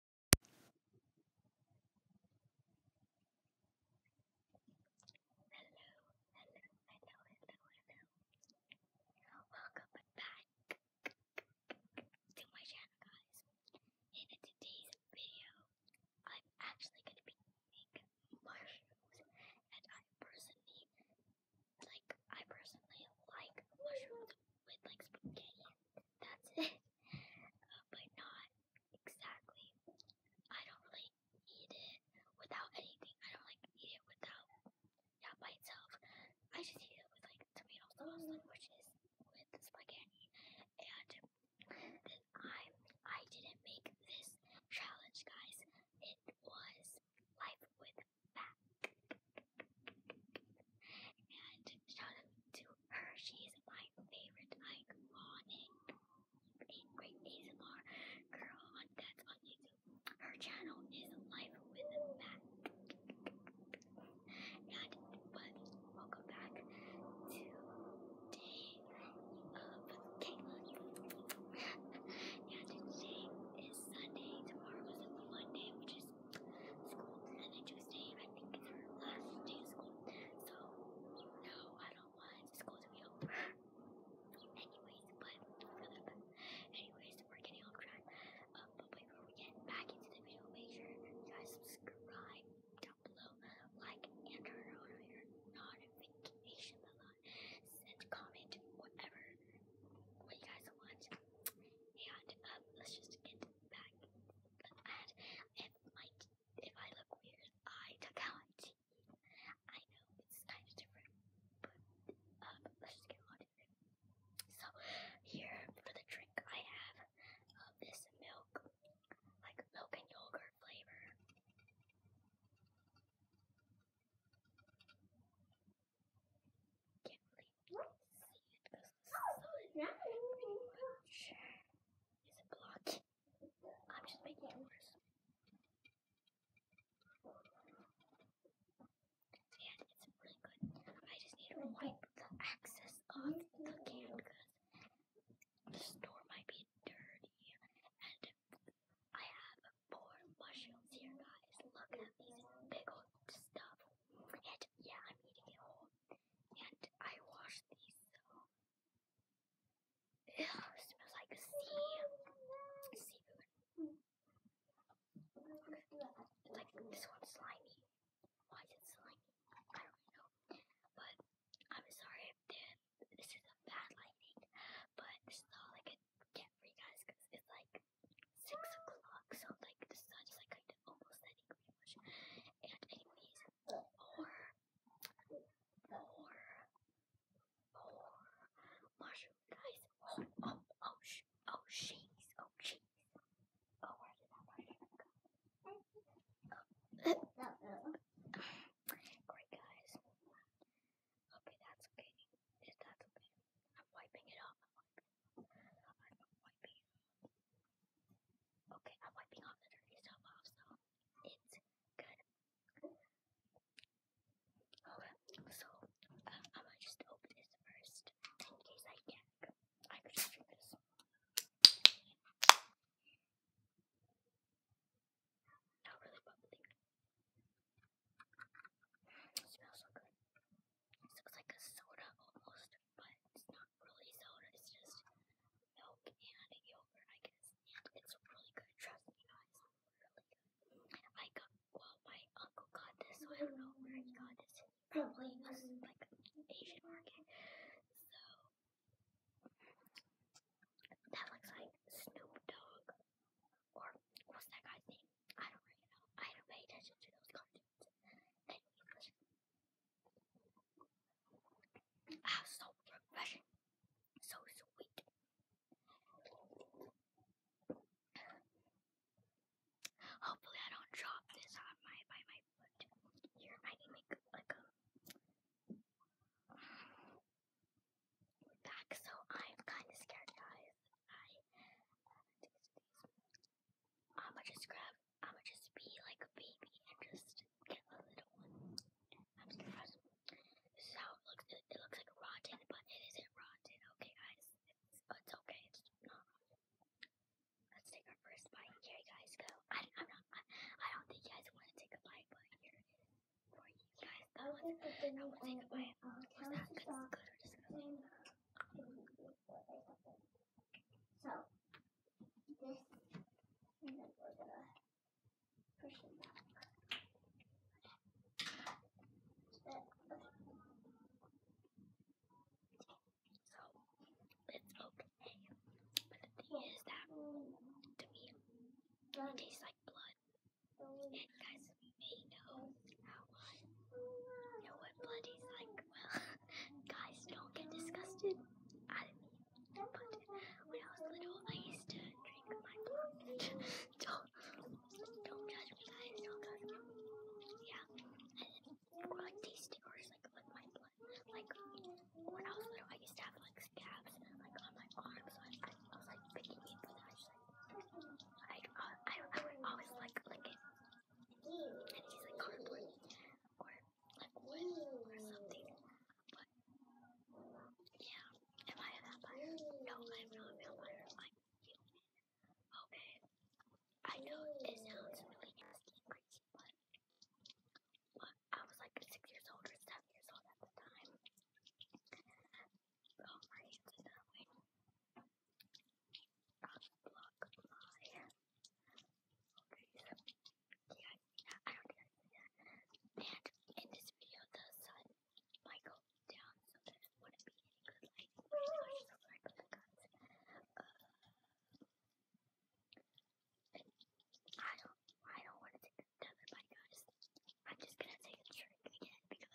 Hello, hello, hello, hello, hello. Welcome back to my channel, guys. In today's video, I'm actually going to be making mushrooms, and I personally like I personally like mushrooms with like spaghetti. That's it but not exactly. I don't really eat it without anything. I don't like eat it without yeah by itself. I just eat it with like tomato sauce, like, which is with spaghetti. And then I I didn't make this challenge, guys. It was life with back. And shout to her. She's my favorite iconic great ASMR girl on that's on YouTube. Her channel is Life with Matt. And but welcome back to Day of Caitlin. and today is Sunday. Tomorrow is Monday, which is there's school on a Tuesday, I think it's her last day of school. So, no, I don't want school to be over. Anyways, but, anyways, we're getting off track. Um, but before we get back into the video, make sure you guys subscribe down below, like, and turn on your notification bell send comment, whatever, what you guys want. And, um, let's just get back and if my if I look weird, I took out my teeth. I know it's kind of different, but um, let's get on it. So here for the drink, I have uh, this milk, like milk and yogurt flavor. Can't really Sure. Is it blocked? I'm just making it worse. And it's really good. I just need to wipe the access off the can because the store might be dirty. And I have more mushrooms here, guys. Look at these big old stuff forget, yeah, I'm eating it whole. And I washed these, so. Um, ugh, smells like sea. Seafood. It's like this one's slimy. Why is it slimy? I don't know. But I'm sorry if this is a bad lighting, but it's not all I could get for you guys because it's like six o'clock, so like the sun is like kind of almost setting pretty much. And anyways, or or or mushroom guys. Oh oh oh sh oh cheese oh cheese. Oh where did that where did that go? Oh. Great guys. Okay, that's okay. That's okay. I'm wiping it off. Okay, I'm wiping all the dirty stuff off, so it's good. Okay, so um, I'm gonna just open this first in case I gag. I could drink this. Not really bubbling. smells so good. This looks like a soda almost, but it's not really soda. It's just milk and yogurt, I guess. And it's really good. Trust me, guys. Really good. I got, well, my uncle got this, so I don't know where he got this. Probably was like Asian market. So, that looks like Snoop Dogg. Or what's that guy's name? I don't really know. I don't pay attention to those cartoons. Ah, so refreshing. So sweet. Hopefully I don't drop this on my by my foot. You're making me like a back, so I'm kinda scared guys. I uh, I'ma just grab, I'ma just be like a baby and just get a little one. I'm just impressed. This is how it looks. It, looks like rotten, but it isn't rotten. Okay, guys, it's, it's okay. It's not rotten. Let's take our first bite. Here you guys go. I, I'm not. I, I don't think you guys want to take a bite, but here for you guys. I want to take a bite. Was that good or disgusting? So, this, and then we're gonna push them back. So, it's okay. But the thing is that, mm. to me, it tastes like blood. And guys, made home at one. No one bloody like, well, guys, don't get disgusted. I mean, but when I was little, I used to drink my blood. don't, don't judge me, guys. Don't judge me. Yeah, and or like tasting or just like with my blood. Like when I was little, I used to have like scabs like on my arm, so I, I, I was like picking it, but I just like I, I, I, I would always like lick it and he's like cardboard or like wood or something. But yeah, am um, I a vampire? No, I'm not a vampire. I'm human. Okay. I know it sounds really nasty and crazy, but, but I was like six years old or seven years old at the time. Oh, my hands are that way in this video, the sun might down, so that wouldn't be any good light. So I put the guns. I don't, I don't want to take another bite, I'm just gonna take a drink again because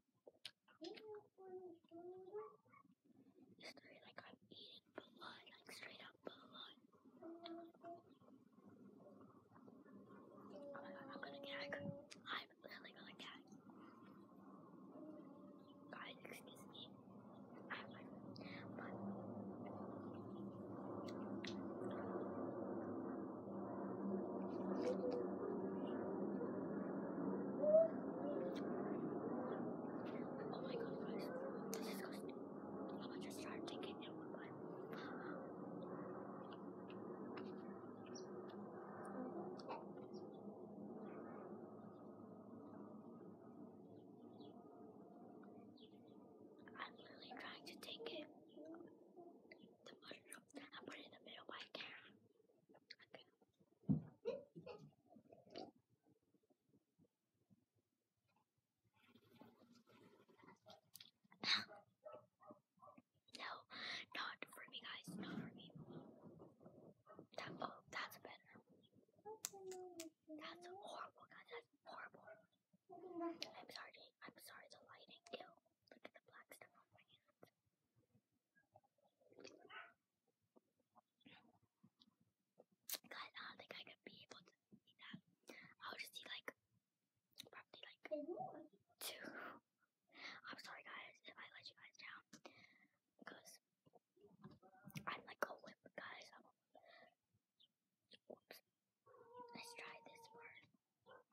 Straight like I'm eating blood, like straight up blood. Oh my god, I'm gonna gag. I'm really gonna gag. Guys, excuse me. I have my but Thank you. Oh my god, guys. This is crazy! I'm gonna just it one I'm literally trying to take it, the put it in the middle, but I can no, not for me, guys. Not for me. oh, that's better. That's horrible, guys. That's horrible. I'm sorry. I'm sorry. The lighting. Look at the black stuff on my hands. Guys, I don't think I could be able to eat that. I'll just eat like probably like two. I'm sorry guys if I let you guys down. Because I'm like a whip guys. Let's try this part.